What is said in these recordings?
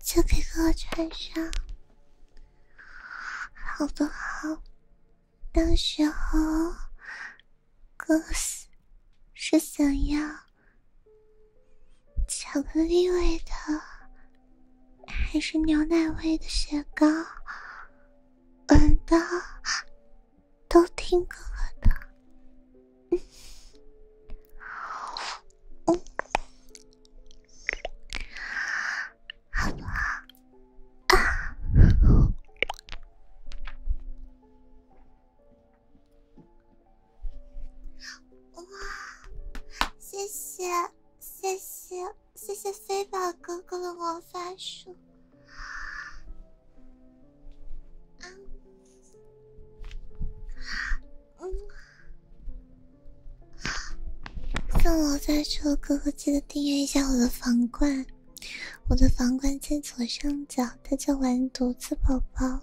就给哥哥穿上，好不好？到时候哥哥是想要巧克力味的，还是牛奶味的雪糕？闻到都听哥哥的。嗯，嗯，好，啊，哇，谢谢谢谢谢谢飞宝哥哥的魔法书，啊。送我再说，哥哥记得订阅一下我的房冠，我的房冠在左上角，他叫玩独子宝宝，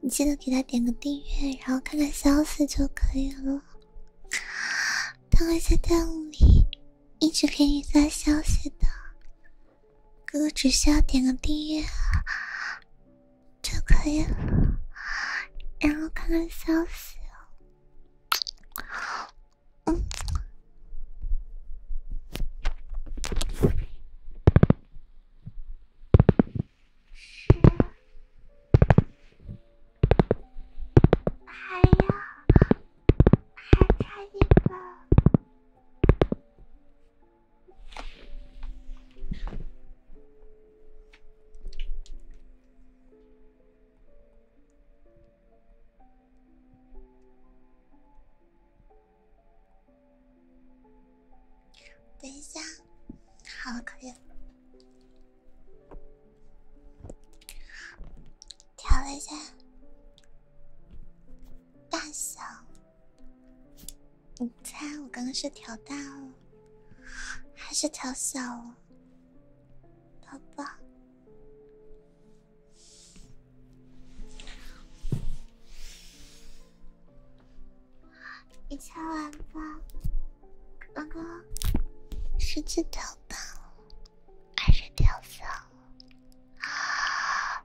你记得给他点个订阅，然后看看消息就可以了。他会在弹幕里一直给你发消息的，哥哥只需要点个订阅。就可以了，然后看看消息。嗯，是。哎呀，还差一个。等一下，好，了，可以调了一下大小。你猜我刚刚是调大了，还是调小了，宝宝？你猜完吧，刚刚是去调大了，还是调小了？啊！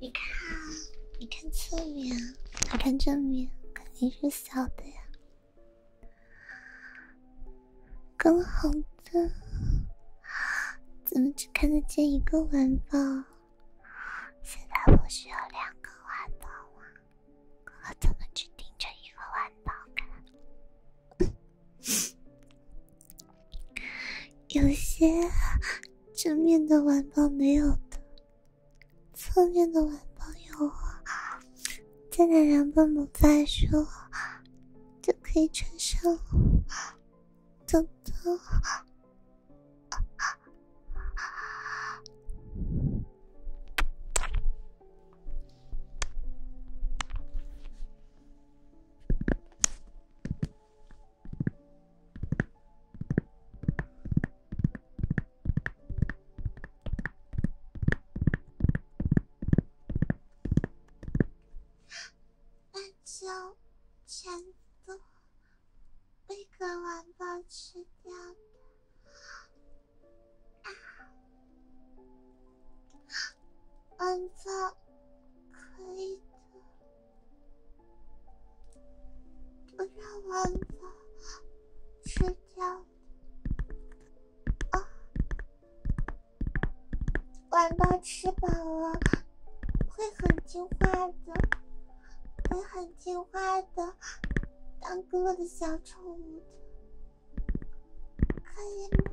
你看，你看侧面，你看正面，肯定是小的呀。刚好的，怎么只看得见一个玩包？现在不需要两个玩包吗？我怎么只盯着一个玩包看？有些正面的晚报没有的，侧面的晚报有啊。再拿两本母再书，就可以穿上，走走。那就全都被格瓦拉吃掉吧！王子可以。不让丸子吃掉啊！丸子吃饱了会很听话的，会很听话的，当哥哥的小宠物，可以吗？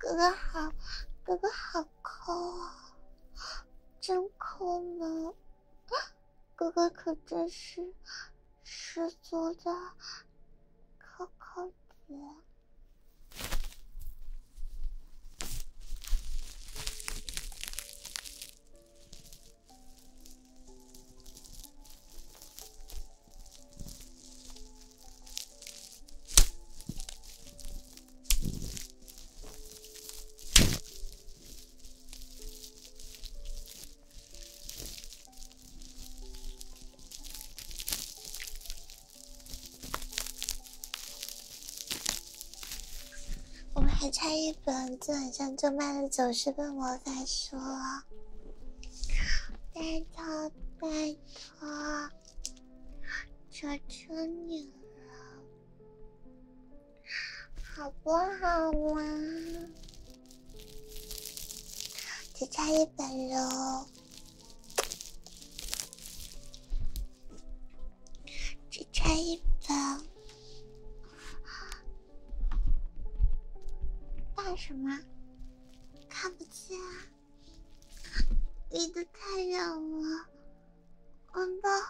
不好吗？哥哥好，哥哥好抠啊，真抠门！哥哥可真是十足的抠抠子。我们还差一本，基本上就卖了九十本魔法书了。拜托拜托，求求你了，好不好嘛？只差一本喽，只差一本。干什么？看不见，啊！离得太远了。我哥，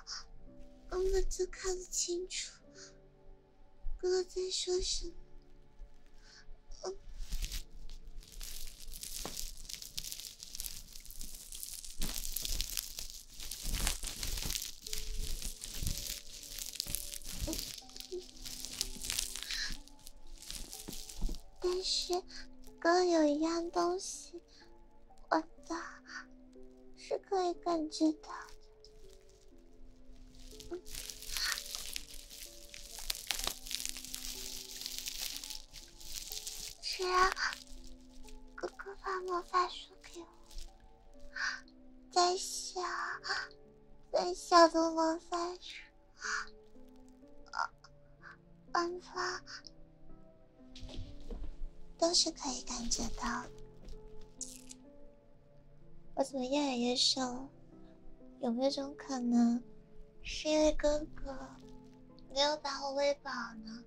哥哥就看不清楚。哥哥在说什么？但是，哥有一样东西，我的是可以感觉到的。只要哥哥把魔法书给我，在想。在下层房间，暗杀都是可以感觉到。我怎么越来越瘦？有没有种可能，是因为哥哥没有把我喂饱呢？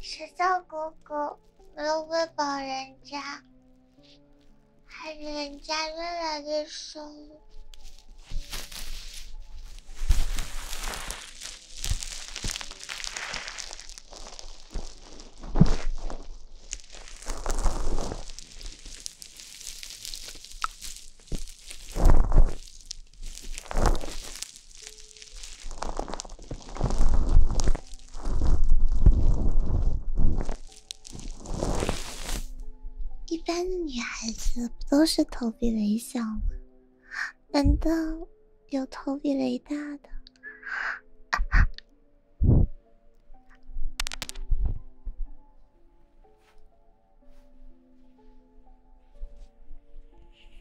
谁叫哥哥没有喂饱人家，害人家越来越瘦。一般的女孩子不都是投币雷小吗？难道有投币雷大的？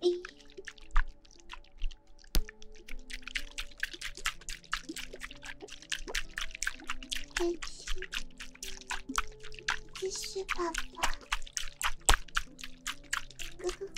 いいティッシュパパググ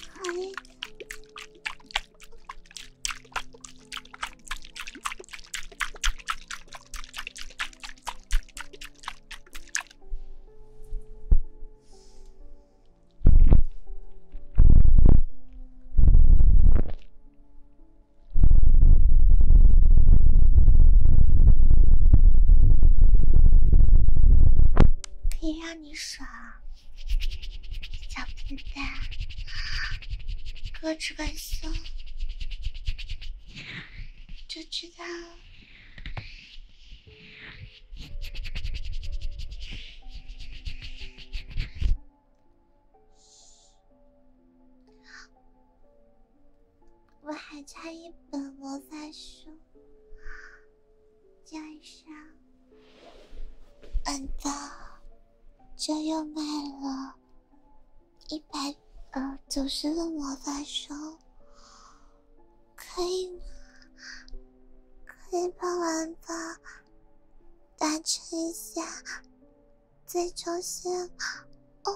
可以让你爽，小笨蛋，哥这个胸。就知道，我还差一本魔法书，加上，难道这又卖了？一百呃九十的魔法书，可以吗？可以帮完吧，达成一下最终线。哦，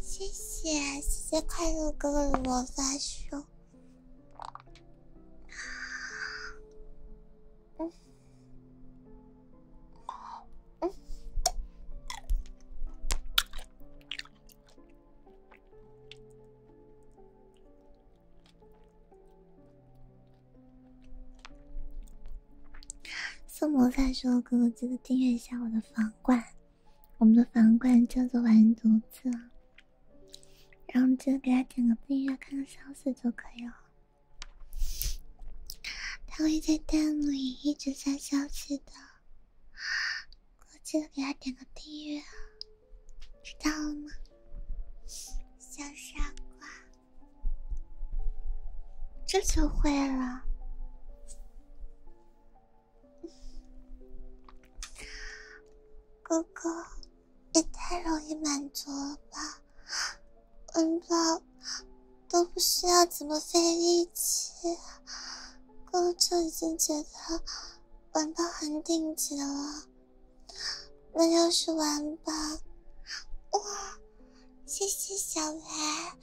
谢谢，谢谢快乐哥哥的魔法书。嗯。苏的时说：“哥哥，记得订阅一下我的房管，我们的房管叫做完犊子，然后记得给他点个订阅，看个消息就可以了。”他会在弹幕里一直在消息的，记得给他点个订阅，知道了吗，小傻瓜？这就会了，哥哥，也太容易满足了吧？玩包都不需要怎么费力气，哥就已经觉得玩包很顶级了。那要是玩吧，哇！谢谢小白，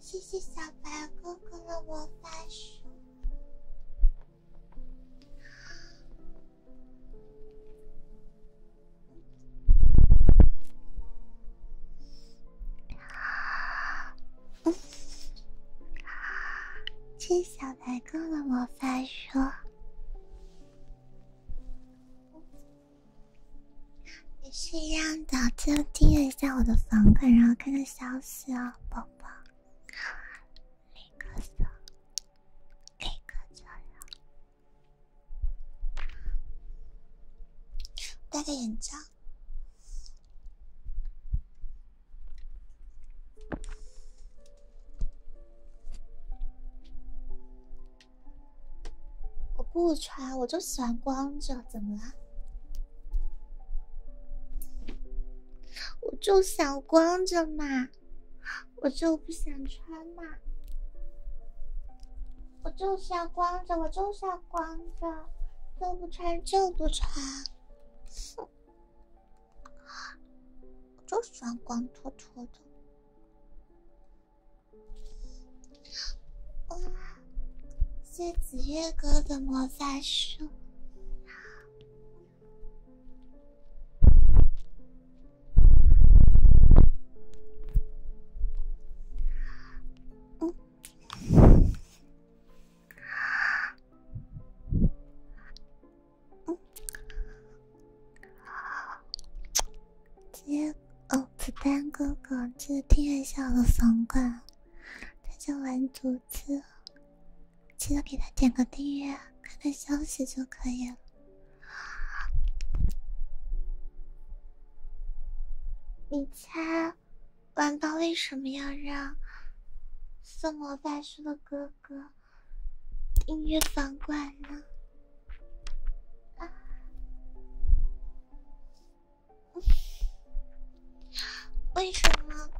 谢谢小白哥哥的魔法书。啊！嗯，小白哥的魔法书。你是一样的，就听了一下我的房馈，然后看看消息哦，宝宝。立刻做，立刻做了。戴个眼罩。我不穿，我就喜欢光着，怎么了？我就想光着嘛。我就不想穿嘛，我就是要光着，我就是要光着，就不穿就不穿，哼，我就喜欢光秃秃的。哇，谢子月哥的魔法书。嗯，嗯，天，哦，子弹哥哥，记得订阅一下我的房管，他叫蓝组织，记得给他点个订阅，看看消息就可以了。你猜，晚报为什么要让送魔法书的哥哥订阅房管呢？为什么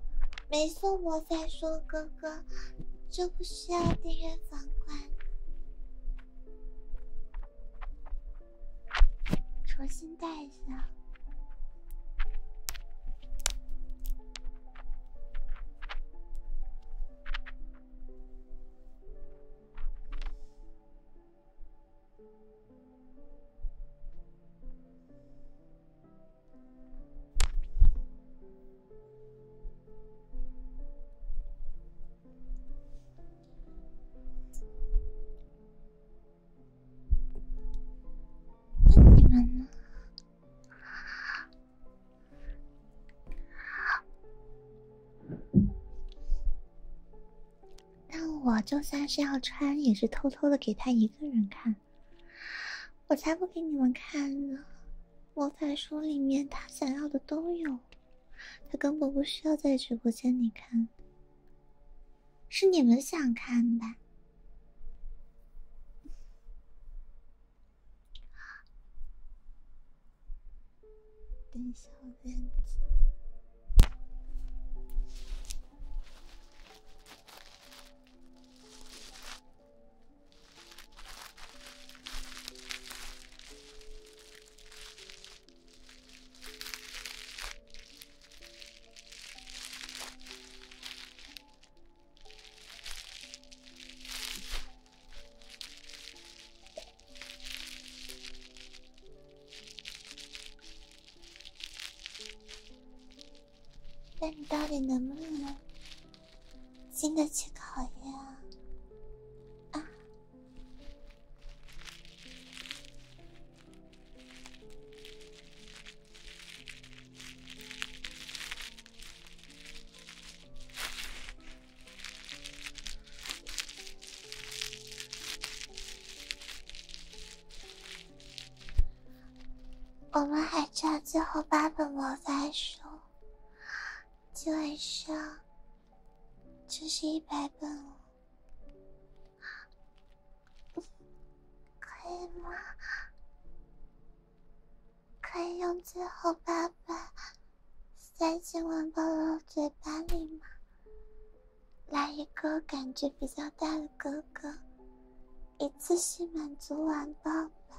没送魔法书哥哥就不需要订阅房管？重新戴一下。你们呢？但我就算是要穿，也是偷偷的给他一个人看。我才不给你们看呢！魔法书里面他想要的都有。他根本不需要在直播间里看，是你们想看吧？等下，院子。那你到底能不能经得起考验啊？我们还差最后八本魔法书，今晚上。这是一百本，哦，可以吗？可以用最后八本塞进万宝的嘴巴里吗？来一个感觉比较大的哥哥，一次性满足玩宝吧。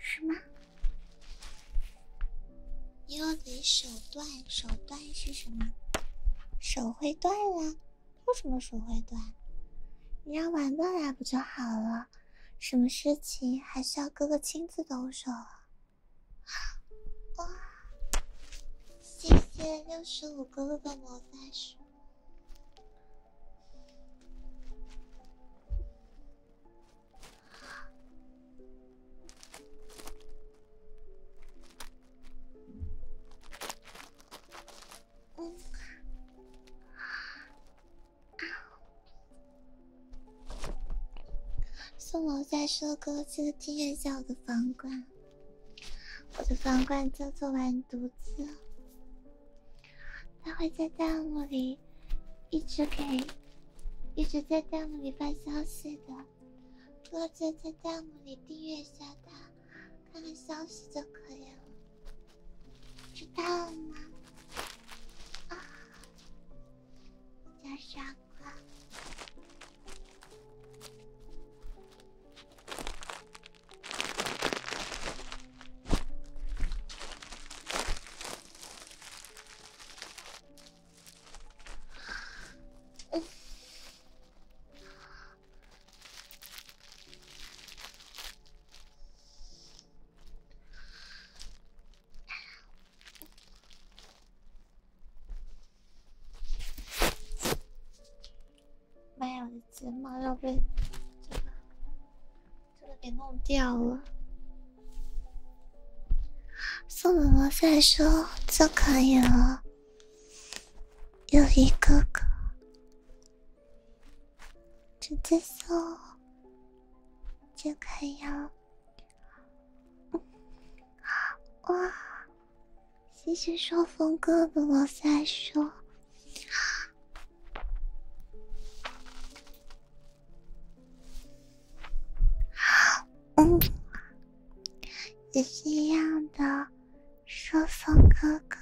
什么？又得手断，手断是什么？手会断呀？为什么手会断？你让玩伴来不就好了？什么事情还需要哥哥亲自动手？哇！谢谢六十五哥哥的魔法书。嗯，啊，啊！送楼再说歌。记得订阅一下我的房管，我的房管叫做完犊子。他会在弹幕里一直给，一直在弹幕里发消息的，哥在在弹幕里订阅一下他，看看消息就可以了，知道了吗？啊，小傻瓜。没有的睫毛要被。这个给弄掉了，送宝宝再说就可以了。有一个个直接送就可以了。哇，谢谢双峰哥哥，我再说。嗯，也是一样的，说风哥哥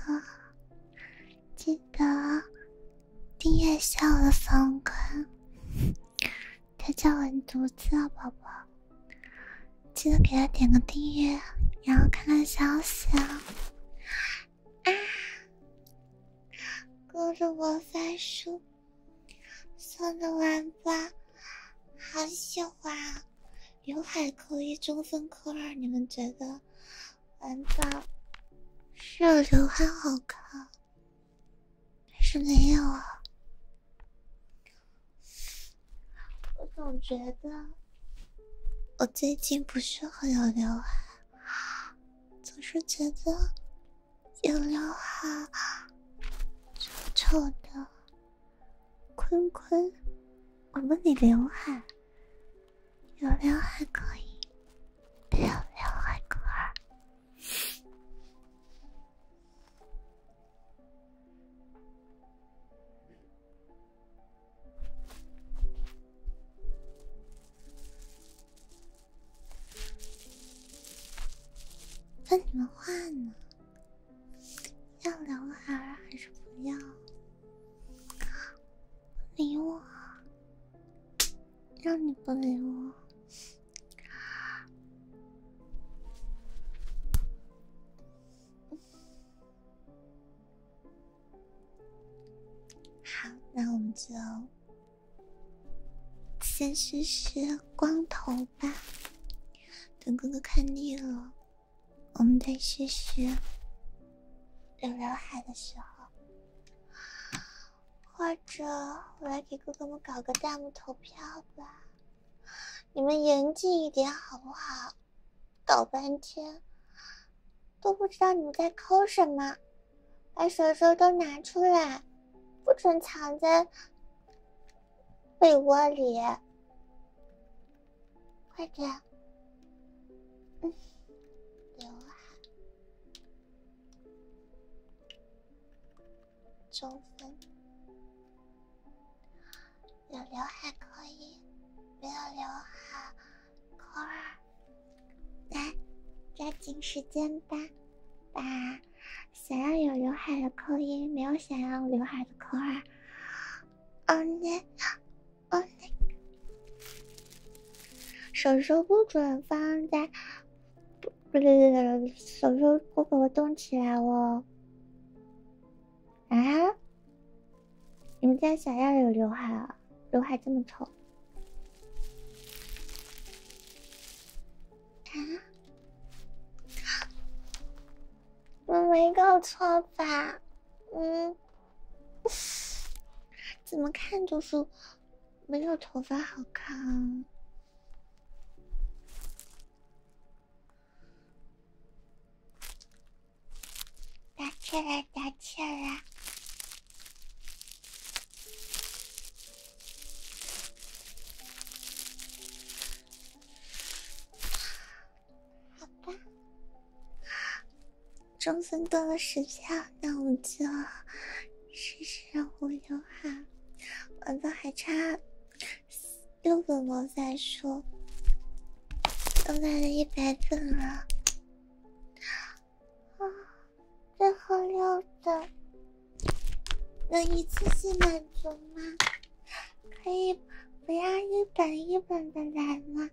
记得订阅下我的房坤，他叫文独自子，宝宝记得给他点个订阅，然后看看消息。啊。啊！各着魔翻书送的玩吧，好喜欢！刘海扣一，中分扣二，你们觉得玩发是刘海好看，还是没有啊？我总觉得我最近不是很有刘海。总是觉得有刘海丑丑的，坤坤，我问你，刘海有刘海可以，有刘海可以。问你们话呢？要刘海还是不要？不理我，让你不理我。好，那我们就。先试试光头吧，等哥哥看腻了，我们再试试留刘海的时候，或者我来给哥哥们搞个弹幕投票吧，你们严谨一点好不好？搞半天都不知道你们在抠什么。把手手都拿出来，不准藏在被窝里，快点！嗯，刘海，中分，有刘海可以，没有刘海。扣尔，来，抓紧时间吧，把想要有刘海的扣一，没有想要刘海的扣尔。哦呢，哦呢。手手不准放在，不对不对，手手不给我动起来哦。啊？你们家想要有刘海啊？刘海这么丑啊！我没搞错吧？嗯，怎么看就是没有头发好看。打气了，打气了。好吧，中分多了十票，那我们就试试无忧哈。我都还差六个魔法书，都卖了一百本了。啊。最后六的能一次性满足吗？可以不要一本一本的来吗？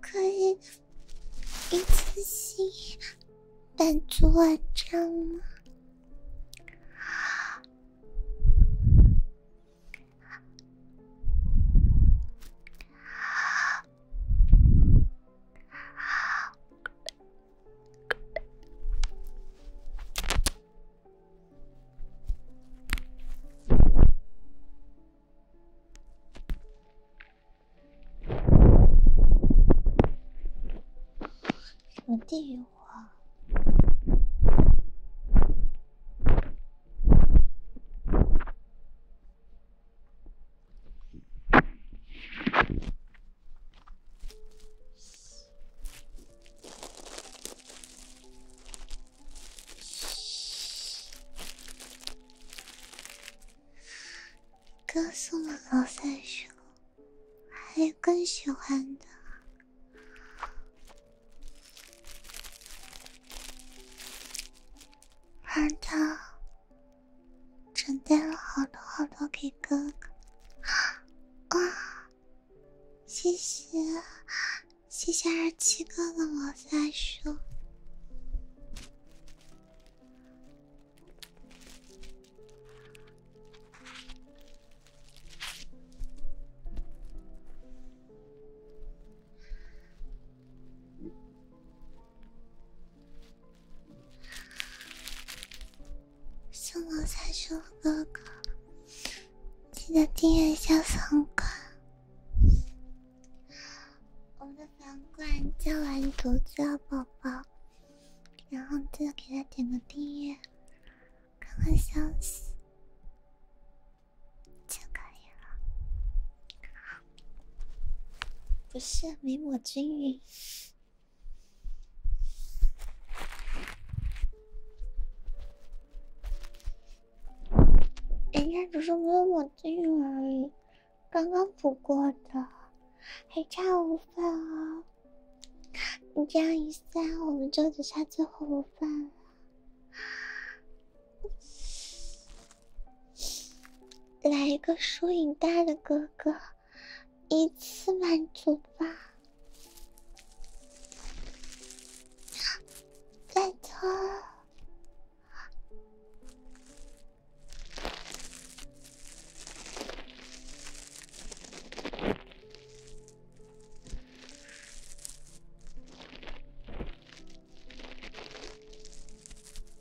可以一次性满足我样吗？你地狱我。歌颂的老三叔，还有更喜欢的，而涛。准备了好多好多给哥哥，啊！谢谢谢谢二七哥哥，我再说。送我三叔哥哥，记得订阅一下房管。我们的房管叫完独家宝宝，然后记得给他点个订阅，看看消息就可以了。不是没抹均匀，人家只是没有抹均匀而已。刚刚补过的，还差五分哦。你这样一算，我们就只差最后五分了。来一个输赢大的哥哥，一次满足吧，拜托。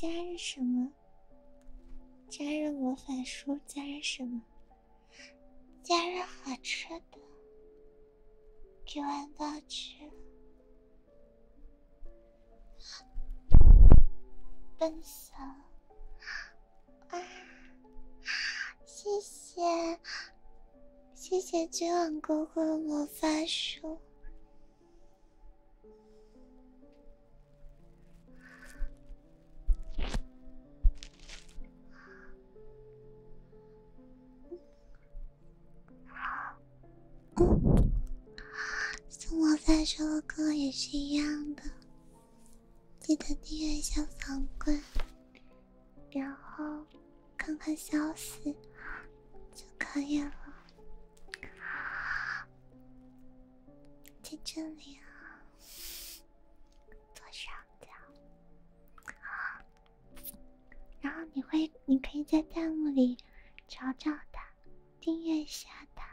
加热什么？加热魔法书？加热什么？加热好吃的？给我好吃。分享啊！谢谢谢谢君王哥哥的魔法书。送我三十个歌也是一样的，记得订阅一下房冠，然后看看消息就可以了。在这里啊，左上角。然后你会，你可以在弹幕里找找的。订阅下他，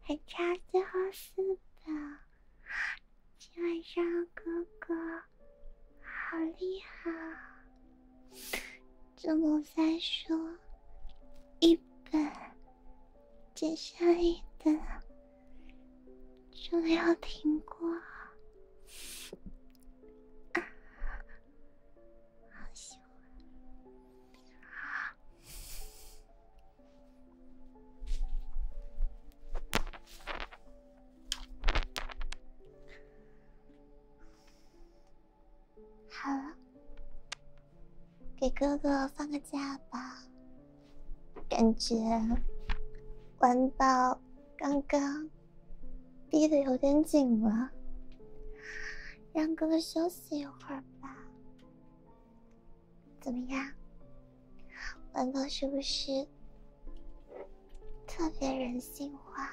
还差最后四本，今晚上哥哥好厉害，怎么再说一本，接下来的就没有停过。好羞啊！好了，给哥哥放个假吧，感觉，玩到刚刚。逼得有点紧了，让哥哥休息一会儿吧。怎么样，晚安是不是特别人性化？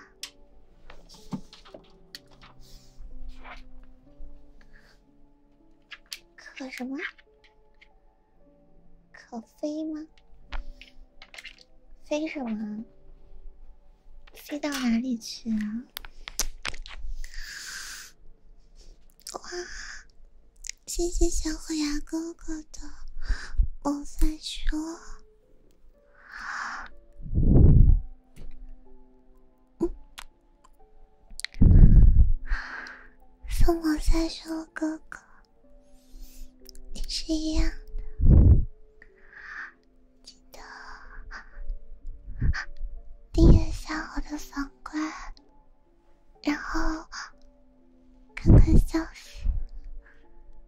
可什么？可飞吗？飞什么？飞到哪里去啊？哇！谢谢小虎牙哥哥的我说。叔，送我三叔哥哥，你是一样的。记得订阅一下我的粉关，然后看看消息。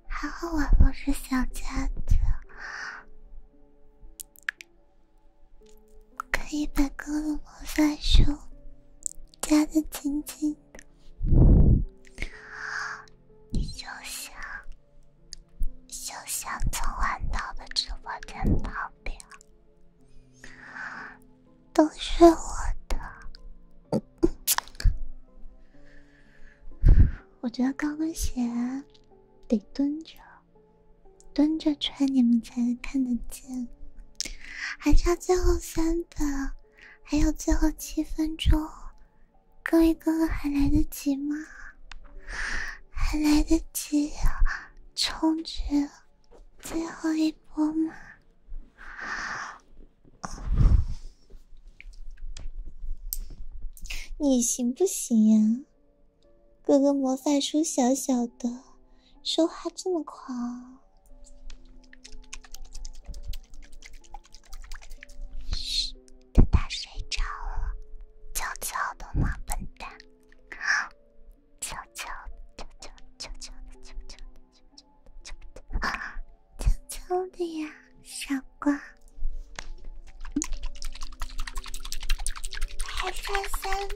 还好我不是小家子，可以把哥的头发束夹的紧紧。就像，就像从晚到的直播间到表，都是我的。我觉得高跟鞋得蹲着，蹲着穿你们才能看得见。还差最后三本，还有最后七分钟。各位哥哥还来得及吗？还来得及充值最后一波吗？你行不行呀？哥哥魔法书小小的，说话这么狂。嘘，等他睡着了，悄悄的嘛，笨蛋，悄悄，悄悄，悄悄的，悄悄的，悄悄的，悄悄的，悄悄的呀，傻瓜，还差三十。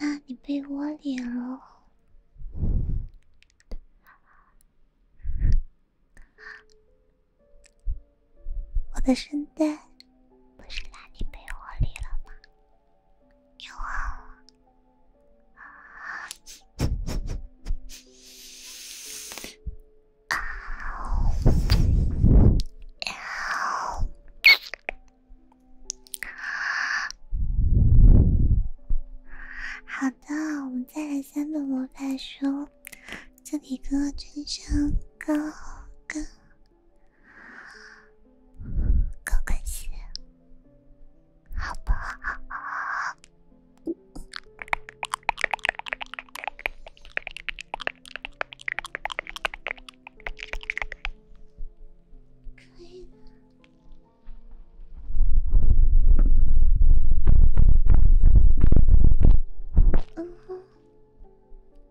那你被窝里了？我的圣诞不是在你被窝里了吗？要啊！啊！要！好的，我们再来三本魔法书，这里哥哥穿上高跟高跟鞋。好不吧。嗯，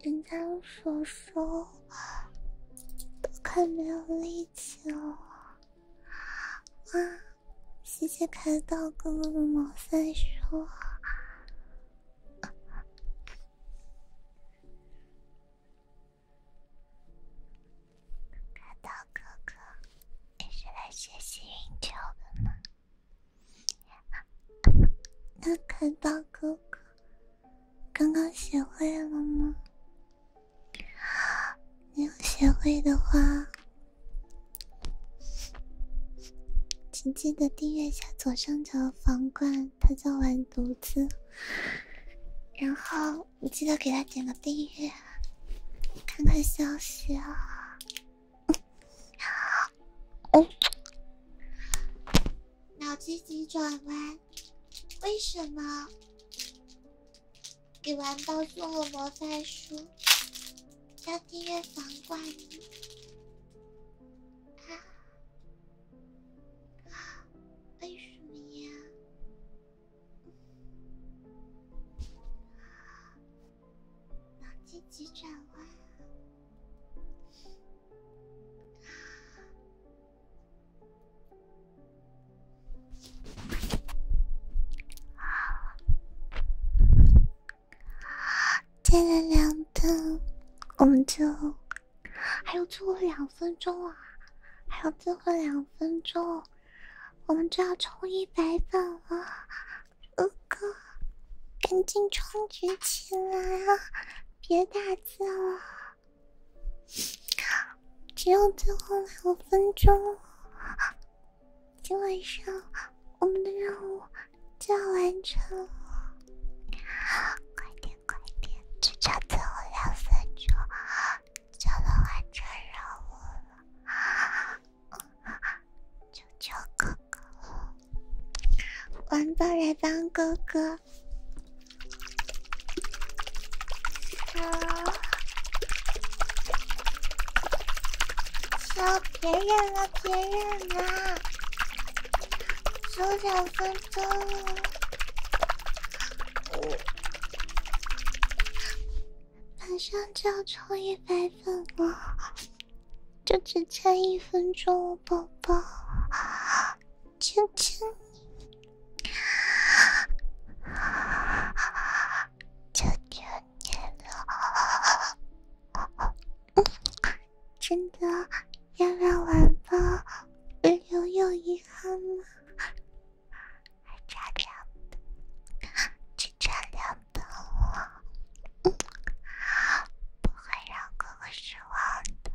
人家的手手都快没有力气了。哇，谢谢开刀哥哥的毛塞说，开刀哥哥你是来学习运球的吗？那开刀哥哥刚刚学会了吗？没有学会的话，请记得订阅一下左上角的房冠，他叫完犊子，然后你记得给他点个订阅，看看消息啊！哦，脑筋急转弯。为什么？给完刀做了魔法书，叫订阅房挂的？啊？为什么呀？脑筋急转弯。再两分，我们就还有最后两分钟啊！还有最后两分钟，我们就要冲一百粉了，哥哥，赶紧充值起来啊！别打字了。只有最后两分钟今晚上我们的任务就要完成了。快点快点，就差最后两分钟就能完成任务了。求求哥哥，帮帮来帮哥哥。啊，小别人了，别人了，就两分钟了，马上就要抽一百分了，就只差一分钟，宝宝，亲亲你！求求你了，真的要让晚风留有遗憾吗？查良，去查良等我，不会让哥哥失望的。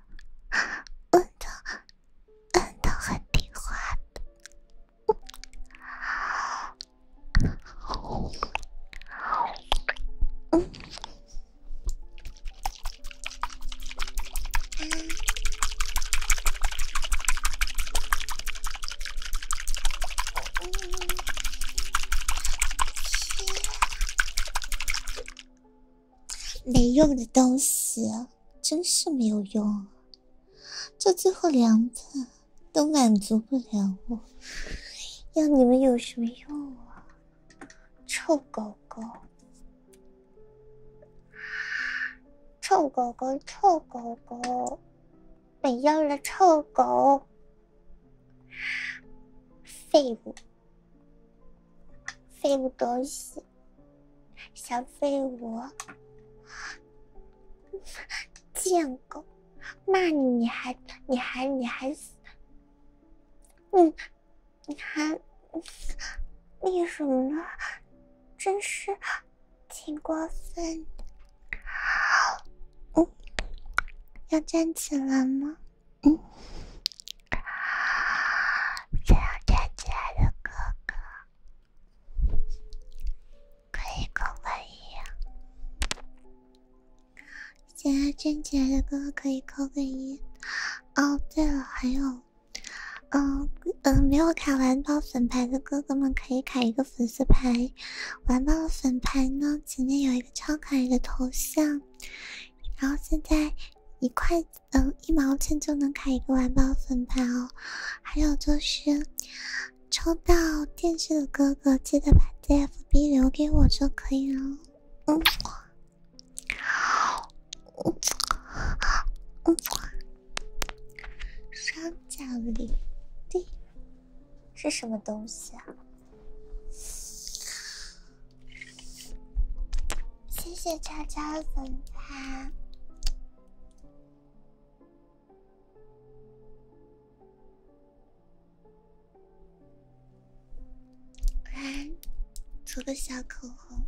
我的，都很听话的。没用的东西。真是没有用，这最后两本都满足不了我，要你们有什么用啊！臭狗狗，臭狗狗，臭狗狗，我要了臭狗，废物，废物东西。小废物，贱狗，骂你你还你还你还，嗯，你还那什么呢？真是挺过分的。嗯，要站起来吗？嗯，想要站起来的哥哥。可以扣个一，喜欢俊来的哥哥可以扣个一。哦，对了，还有，嗯嗯，没有卡完爆粉牌的哥哥们可以卡一个粉丝牌。完爆粉牌呢，前面有一个超可爱的头像，然后现在一块嗯一毛钱就能卡一个完爆粉牌哦。还有就是，抽到电视的哥哥记得把 ZFB 留给我就可以了。嗯，双脚离地是什么东西啊？谢谢叉叉的粉团。来，涂个小口红。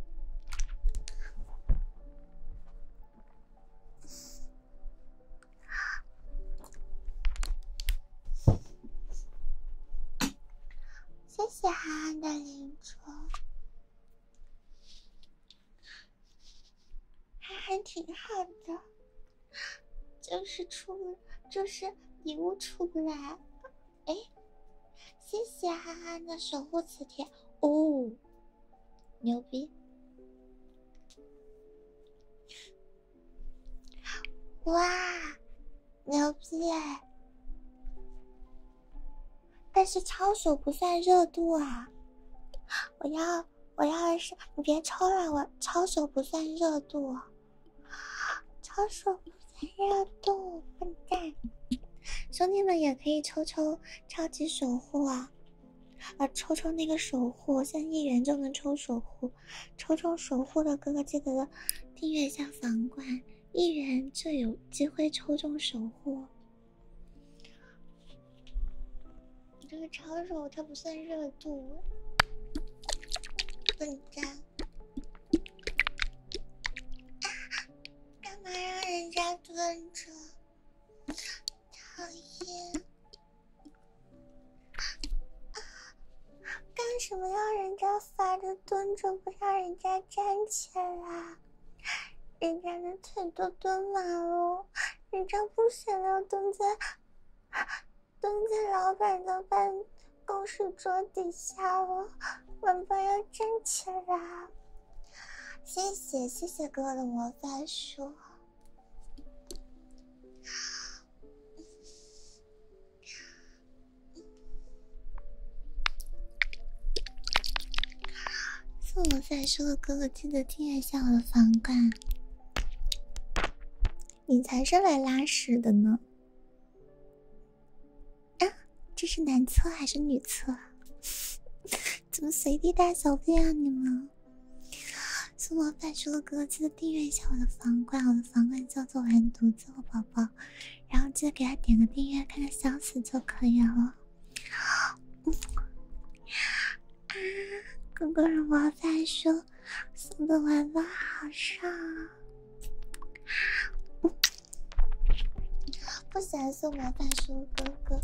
谢谢憨憨的灵珠。还憨挺好的，就是出，就是礼物出不来。哎，谢谢憨憨的守护磁铁，哦，牛逼！哇，牛逼！但是抄手不算热度啊！我要我要是，你别抽了，我抄手不算热度，抄手不算热度，笨蛋！兄弟们也可以抽抽超级守护啊！啊，抽抽那个守护，现在一元就能抽守护，抽抽守护的哥哥记得订阅一下房冠，一元就有机会抽中守护。你这个抄手它不算热度，笨蛋！干嘛让人家蹲着？讨厌！干什么让人家罚着蹲着，不让人家站起来？人家的腿都蹲完了。人家不想要蹲在，蹲在老板的办公室桌底下了，我们要站起来。谢谢谢谢哥哥的魔法书。送我赞书的哥哥记得订阅一下我的房冠，你才是来拉屎的呢！啊，这是男厕还是女厕？怎么随地大小便啊你们？送我赞书的哥哥记得订阅一下我的房冠，我的房冠叫做“完犊子我宝宝”，然后记得给他点个订阅，看看消息就可以了。啊！哥哥是魔法书，送的玩偶好帅。不想送魔法书哥哥，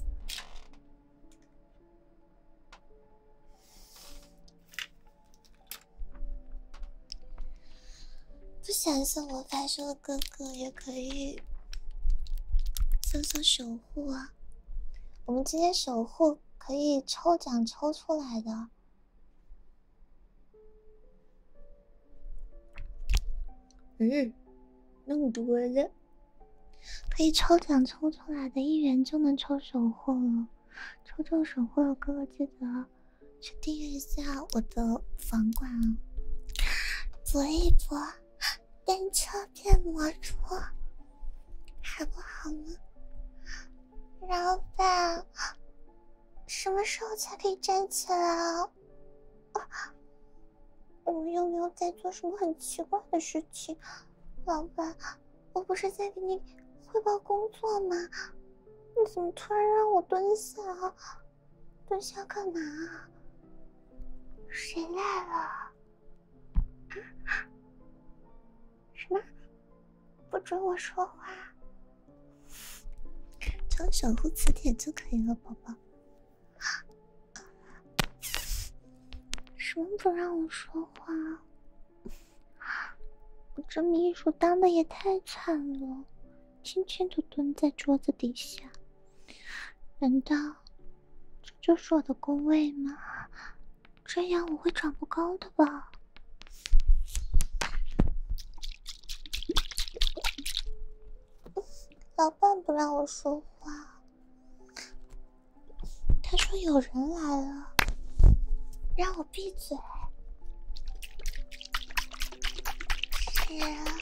不想送魔法书哥哥也可以送送守护啊。我们这些守护可以抽奖抽出来的，嗯，弄多了，可以抽奖抽出来的一元就能抽守护了。抽中守护的哥哥记得去订阅一下我的房管啊，博一博。单车变摩托，还不好吗？老板，什么时候才可以站起来啊？我又没有在做什么很奇怪的事情？老板，我不是在给你汇报工作吗？你怎么突然让我蹲下？蹲下干嘛谁来了？什么？不准我说话？要守护磁铁就可以了，宝宝。什么不让我说话？我这秘书当的也太惨了，天天都蹲在桌子底下。难道？这就是我的工位吗？这样我会长不高的吧？老板不让我说话，他说有人来了，让我闭嘴。是。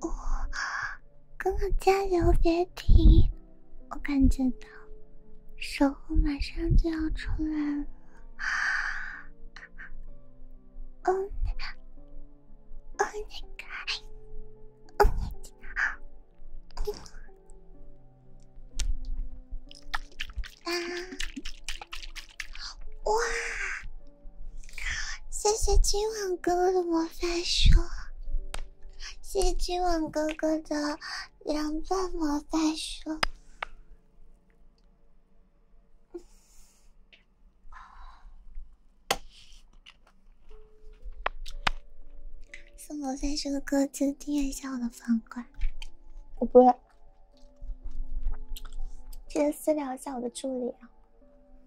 哦，哥哥加油，别停！我感觉到守护马上就要出来了。哦，哦，那个，哦，那个，啊，哇！谢谢今晚哥哥的魔法书。谢谢君王哥哥的凉拌魔法书，送魔袋鼠的哥哥订阅一下我的房管，我不会，记得私聊一下我的助理啊。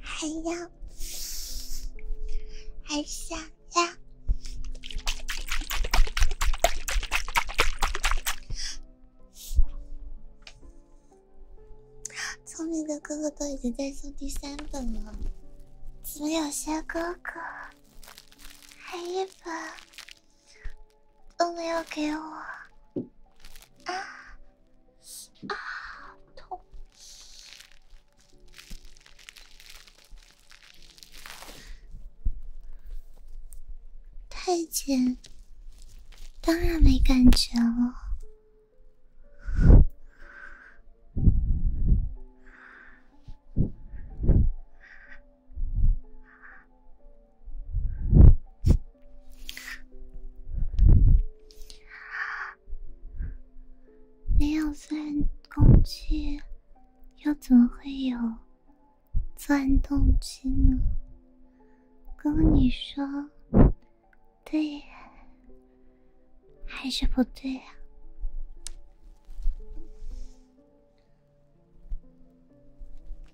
还要，还想要聪明的哥哥都已经在送第三本了，怎么有些哥哥还一本都没有给我啊？啊，痛！太监当然没感觉了。没有钻空气，又怎么会有钻动机呢？哥你说对，还是不对呀？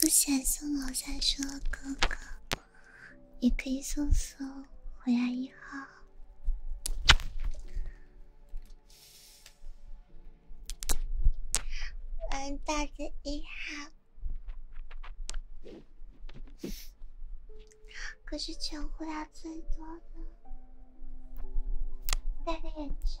不想送我三说哥哥，也可以送送回来一号，我大着一号，可是全呼量最多的，戴个眼镜。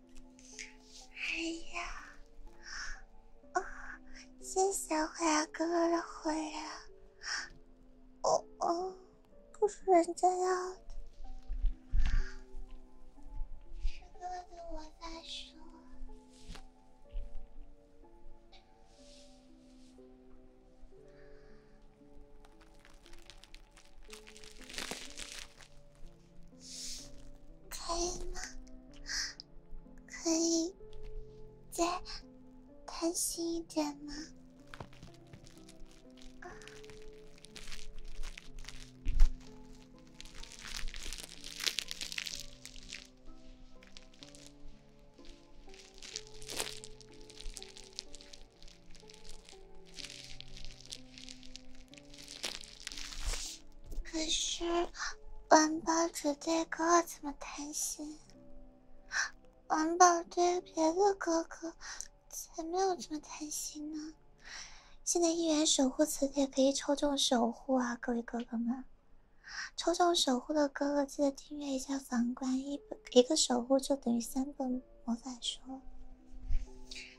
哎呀，啊！谢谢灰牙哥哥的火烈，哦哦，不是人家要的，这哥对我在说。可以吗？可以再贪心一点吗？可是王宝只对哥哥这么贪心，王宝对别的哥哥才没有这么贪心呢。现在一元守护磁铁可以抽中守护啊，各位哥哥们！抽中守护的哥哥记得订阅一下房管一一个守护就等于三本魔法书。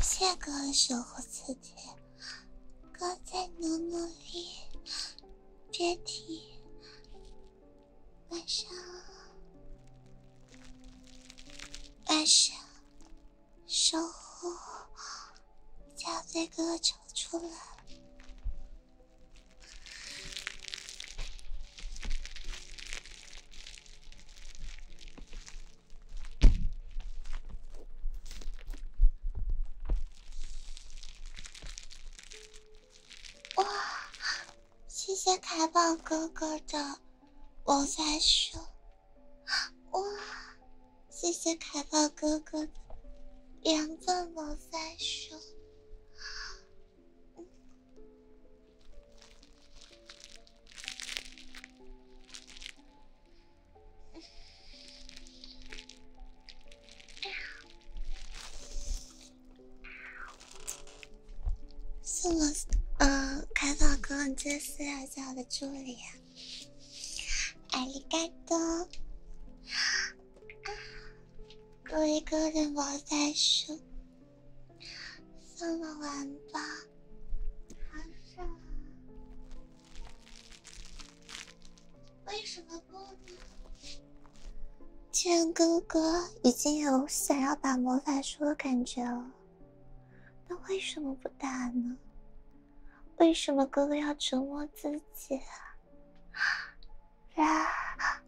谢哥守护自己，哥再努努力，别提。晚上，晚上，守护小飞哥救出来！哇！谢谢凯宝哥哥的魔法书，哇！谢谢凯宝哥哥的两个魔法书。是我，呃，开放哥，你这是要叫我的助理啊？阿里嘎多，一个人我在说，送了玩吧，好傻，为什么不？呢？既然哥哥已经有想要把魔法书的感觉了，那为什么不打呢？为什么哥哥要折磨自己？啊？然、啦，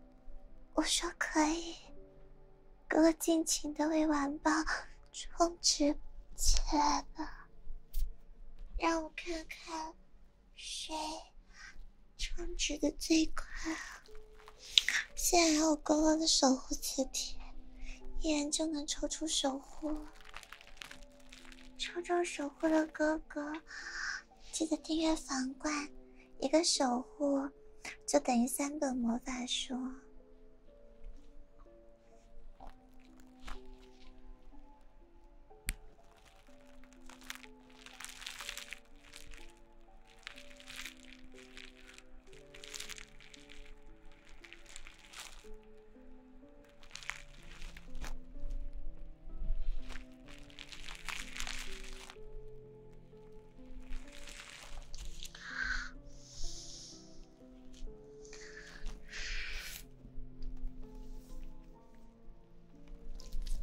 我说可以，哥哥尽情的为玩包充值起来吧，让我看看谁。充值的最快，现在还有哥哥的守护磁铁，一眼就能抽出守护。抽中守护的哥哥，记得订阅皇冠，一个守护就等于三本魔法书。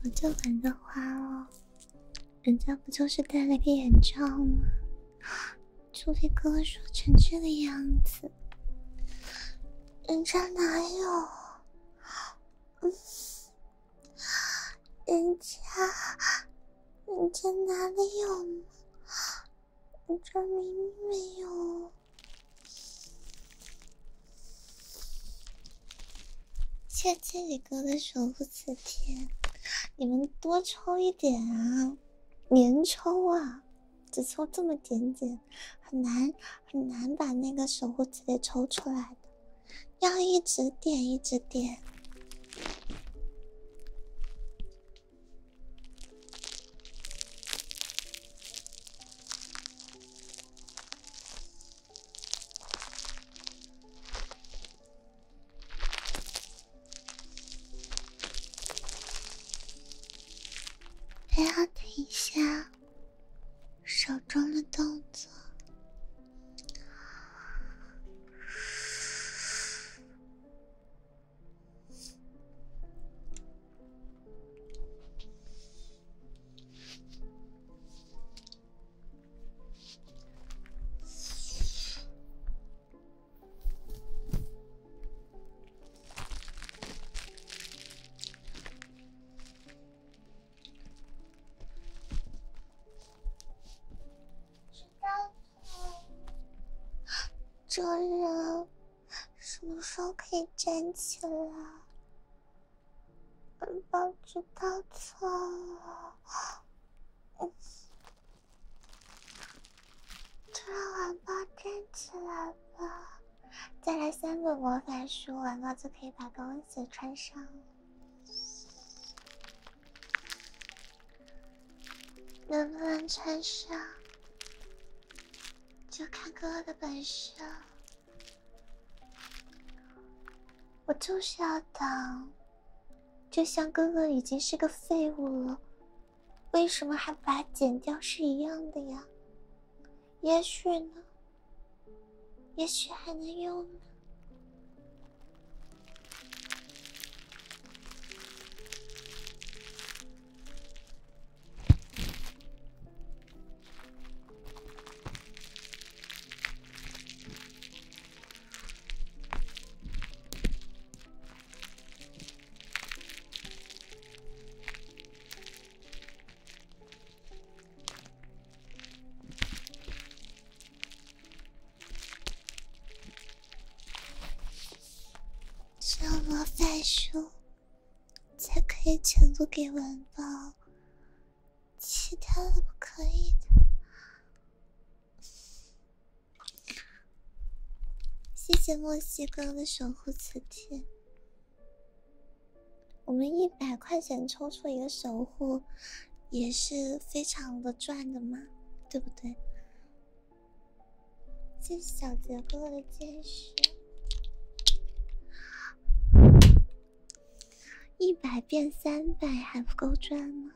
我就闻着花哦。人家不就是戴了个眼罩吗？除非哥说成这个样子，人家哪有？人家，人家哪里有？人家明明没有。谢谢你哥的守护磁天，你们多抽一点啊，连抽啊，只抽这么点点，很难很难把那个守护磁铁抽出来的，要一直点一直点。不要停下手中的动作。知道错了。这人什么时候可以站起来？宝宝知道错了。突然，王宝站起来吧，再来三本魔法书，王宝就可以把高跟鞋穿上。能不能穿上，就看哥哥的本事了。我就是要等就像哥哥已经是个废物了，为什么还不把它剪掉是一样的呀？也许呢，也许还能用呢。只有魔法书才可以全部给完吧。其他的不可以的。谢谢莫西哥的守护磁铁，我们一百块钱抽出一个守护，也是非常的赚的嘛，对不对？谢谢小杰哥的坚持。一百变三百还不够赚吗？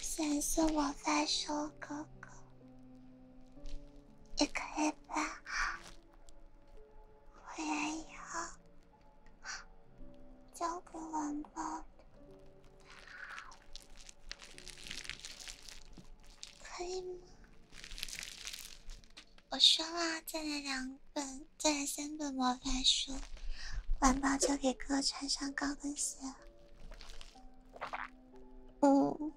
先送我在手，哥哥，也可以吧？回来以后交给我吧。可以吗？我说了，再来两本，再来三本魔法书，玩饱就给哥穿上高跟鞋。嗯。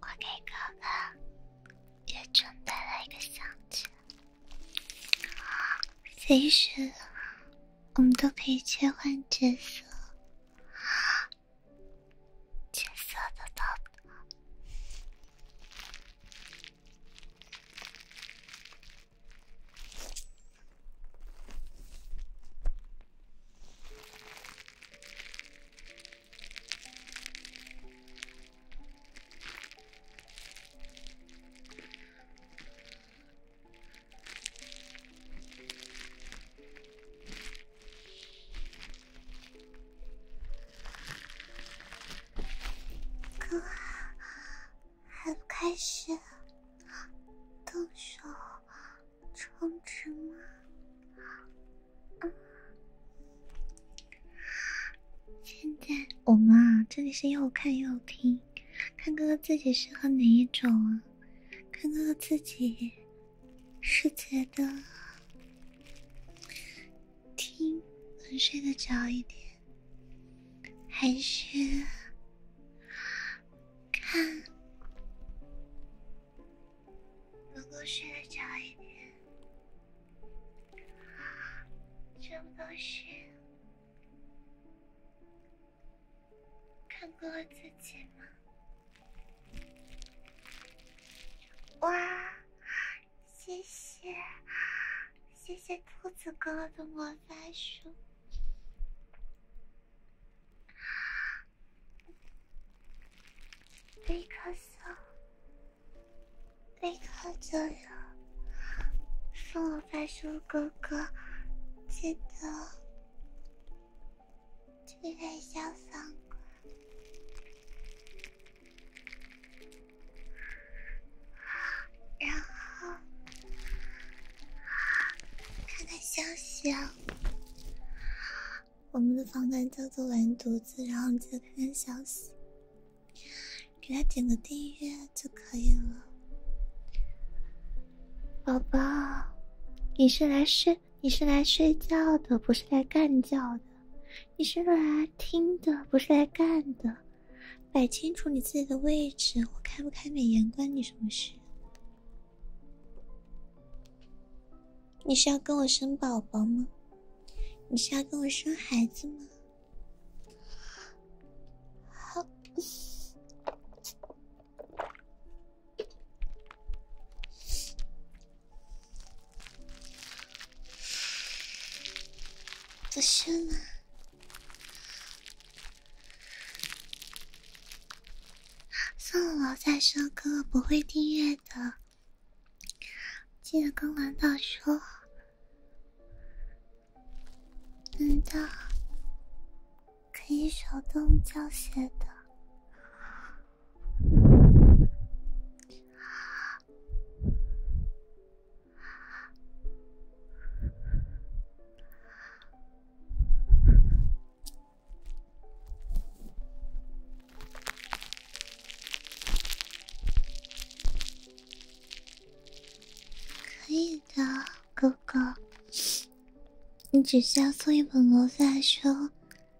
我给哥哥也准备了一个相机，随时我们都可以切换角色。真骚的他。哥，还不开始动手充值吗？现在我们啊，这里是又看又听，看哥哥自己适合哪一种啊？看哥哥自己。是觉得听能睡得着一点，还是看能够睡得着一点？这不都是看过了自己吗？哇，谢谢，谢谢兔子哥哥的魔法书，立刻走，立刻走了，送我法术哥哥，记得。这个太潇然后看看消息。啊，我们的房间叫做完犊子，然后你记得看看消息，给他点个订阅就可以了。宝宝，你是来睡？你是来睡觉的，不是来干叫的；你是来听的，不是来干的。摆清楚你自己的位置。我开不开美颜关你什么事？你是要跟我生宝宝吗？你是要跟我生孩子吗？好。不是吗？算了，再哥哥不会订阅的。记得跟兰道说，难道可以手动教学的。可以的，哥哥，你只需要做一本魔法书。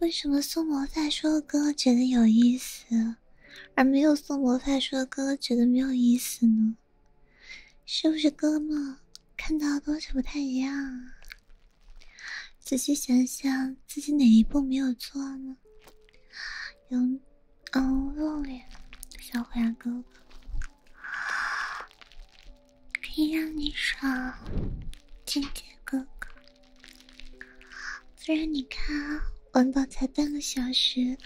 为什么送魔法书的哥哥觉得有意思，而没有送魔法书的哥哥觉得没有意思呢？是不是哥哥看到的东西不太一样？仔细想想，自己哪一步没有做呢？有，嗯，露脸，小虎牙哥哥。可以让你爽，金姐哥哥。不然你看，文宝才半个小时，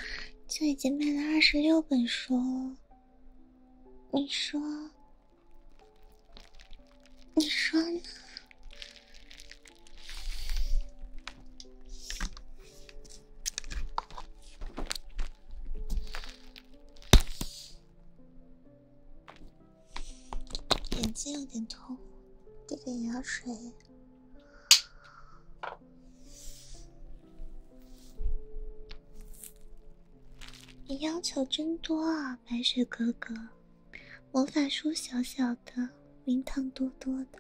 就已经卖了二十六本书了。你说，你说呢？眼睛有点痛，滴点药水。你要求真多啊，白雪哥哥！魔法书小小的，名堂多多的。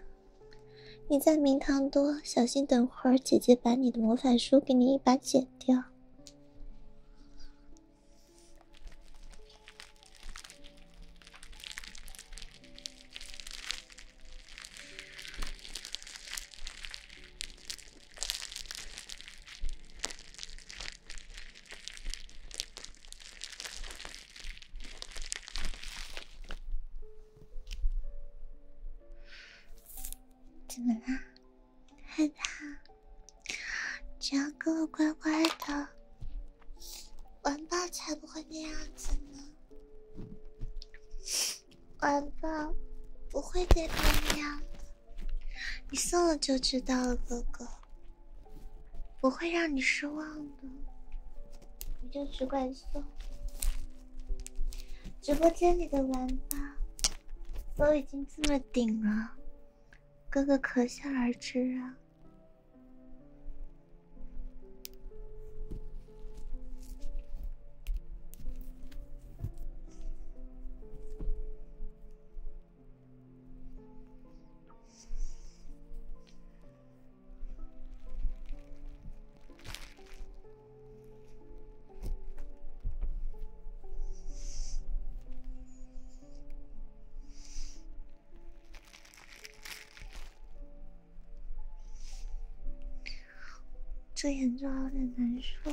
你在名堂多，小心等会儿姐姐把你的魔法书给你一把剪掉。怎么了？害怕，只要哥哥乖乖的，玩伴才不会那样子呢。玩伴不会变成那样子，你送了就知道了，哥哥，不会让你失望的，你就只管送，直播间里的玩吧。都已经这么顶了，哥哥可想而知啊。这眼妆有点难受。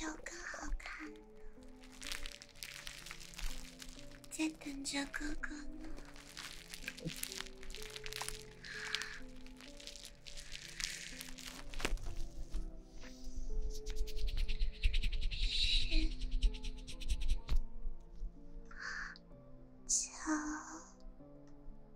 有更好看的，在等着哥哥。呢。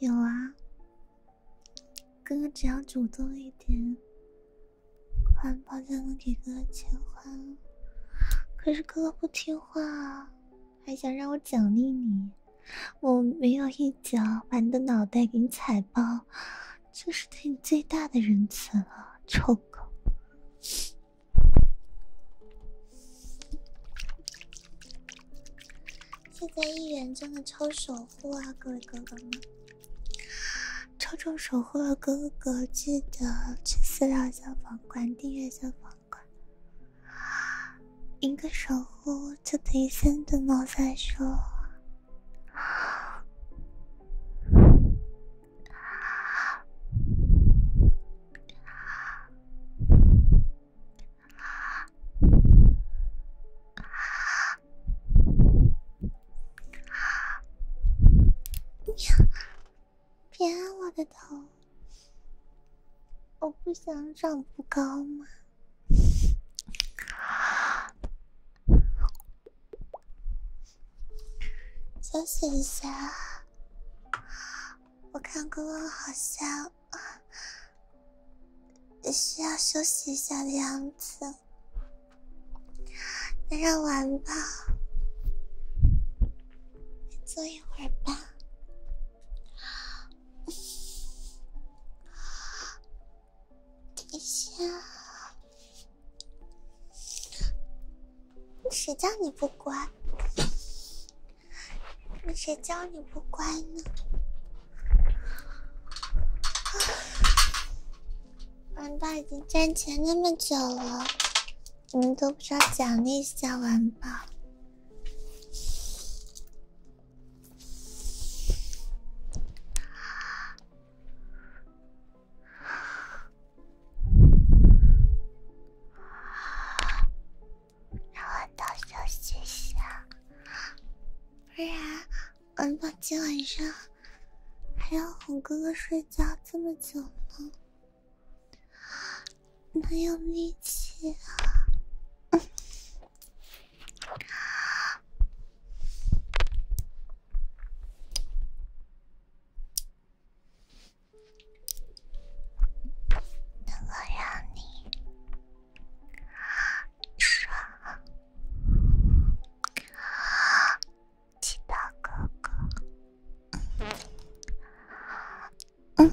有啊，哥哥只要主动一点，环包就能给哥哥钱花可是哥哥不听话，还想让我奖励你，我没有一脚把你的脑袋给你踩爆。就是对你最大的仁慈了，臭狗！现在一元真的超守护啊，各位哥哥们！抽中守护的哥哥记得去私聊消防官，订阅消防官。一个守护就等于三顿猫在手。别，别按我的头！我不想长不高嘛。休息一下，我看哥哥好像也需要休息一下的样子，那让玩吧，坐一会儿吧。一下，谁叫你不乖？谁叫你不乖呢？玩宝已经起来那么久了，你们都不知道奖励一下玩吧。让我多休息下，不然我怕今晚上还要哄哥哥睡觉这么久呢，没有力气啊！能够让你爽，其他哥哥，嗯。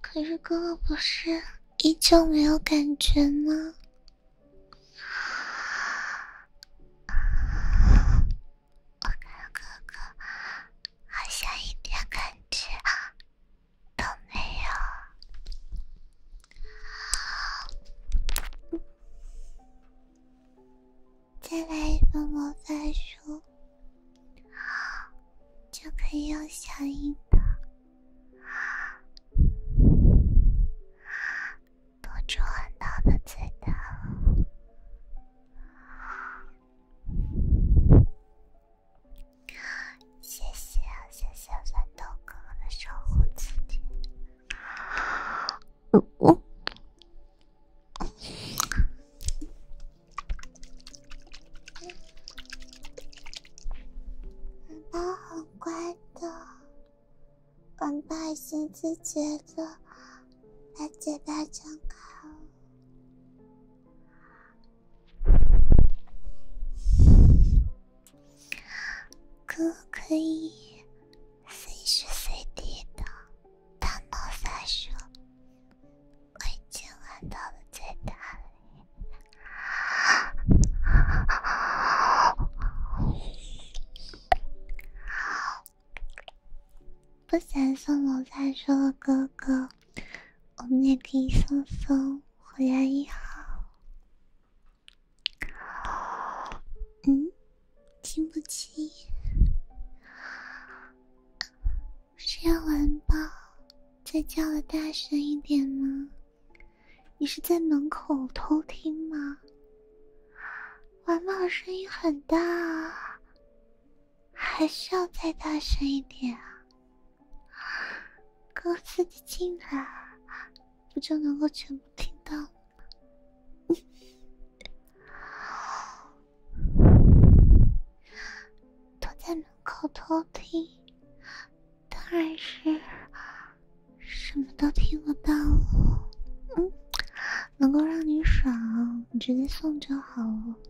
可是哥哥不是依旧没有感觉吗？我看哥哥好像一点感觉都没有，再来一个魔法书，就可以用小樱桃出很多的嘴了。谢谢谢谢三豆哥哥的守护之贴，嗯嗯，很乖很乖的，很耐心思觉的。把嘴巴张开，可不可以随时随地的单独撒手？我已经闻到了味道了。不想送我再说，哥哥，我们也可以送送回来一号。嗯，听不清，是要玩吧？再叫的大声一点吗？你是在门口偷听吗？元宝声音很大啊。还需要再大声一点啊！靠自己进来，不就能够全部听到吗？躲在门口偷听，当然是什么都听不到了。嗯，能够让你爽，直接送就好了。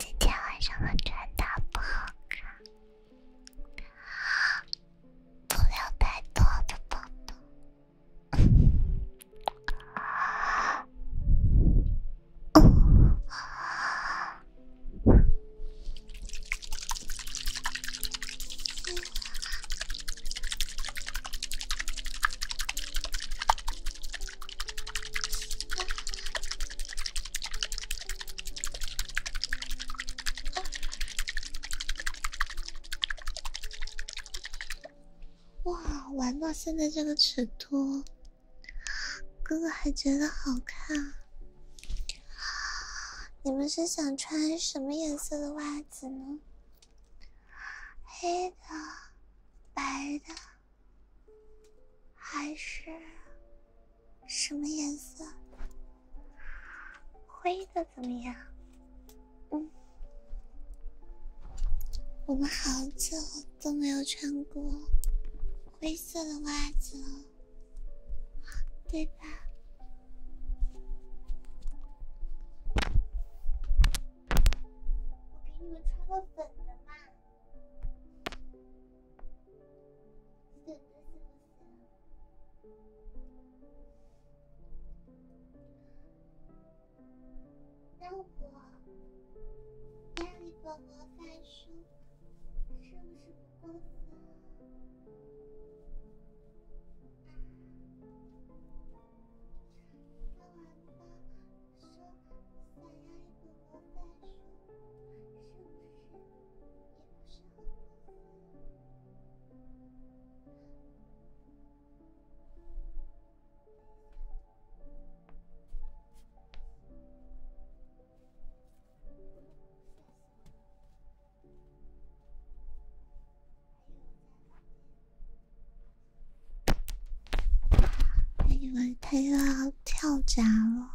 今天晚上穿的不好看，不要太多的抱抱。哇，玩到现在这个尺度！哥哥还觉得好看，你们是想穿什么颜色的袜子呢？黑的、白的，还是什么颜色？灰的怎么样？嗯，我们好久。都没有穿过灰色的袜子，对吧？我给你们穿个粉的嘛，是不是？那我家里给我发书，是不是不过分了？大王的说想要一本魔法书，是不是也不少？以为他又要跳闸了！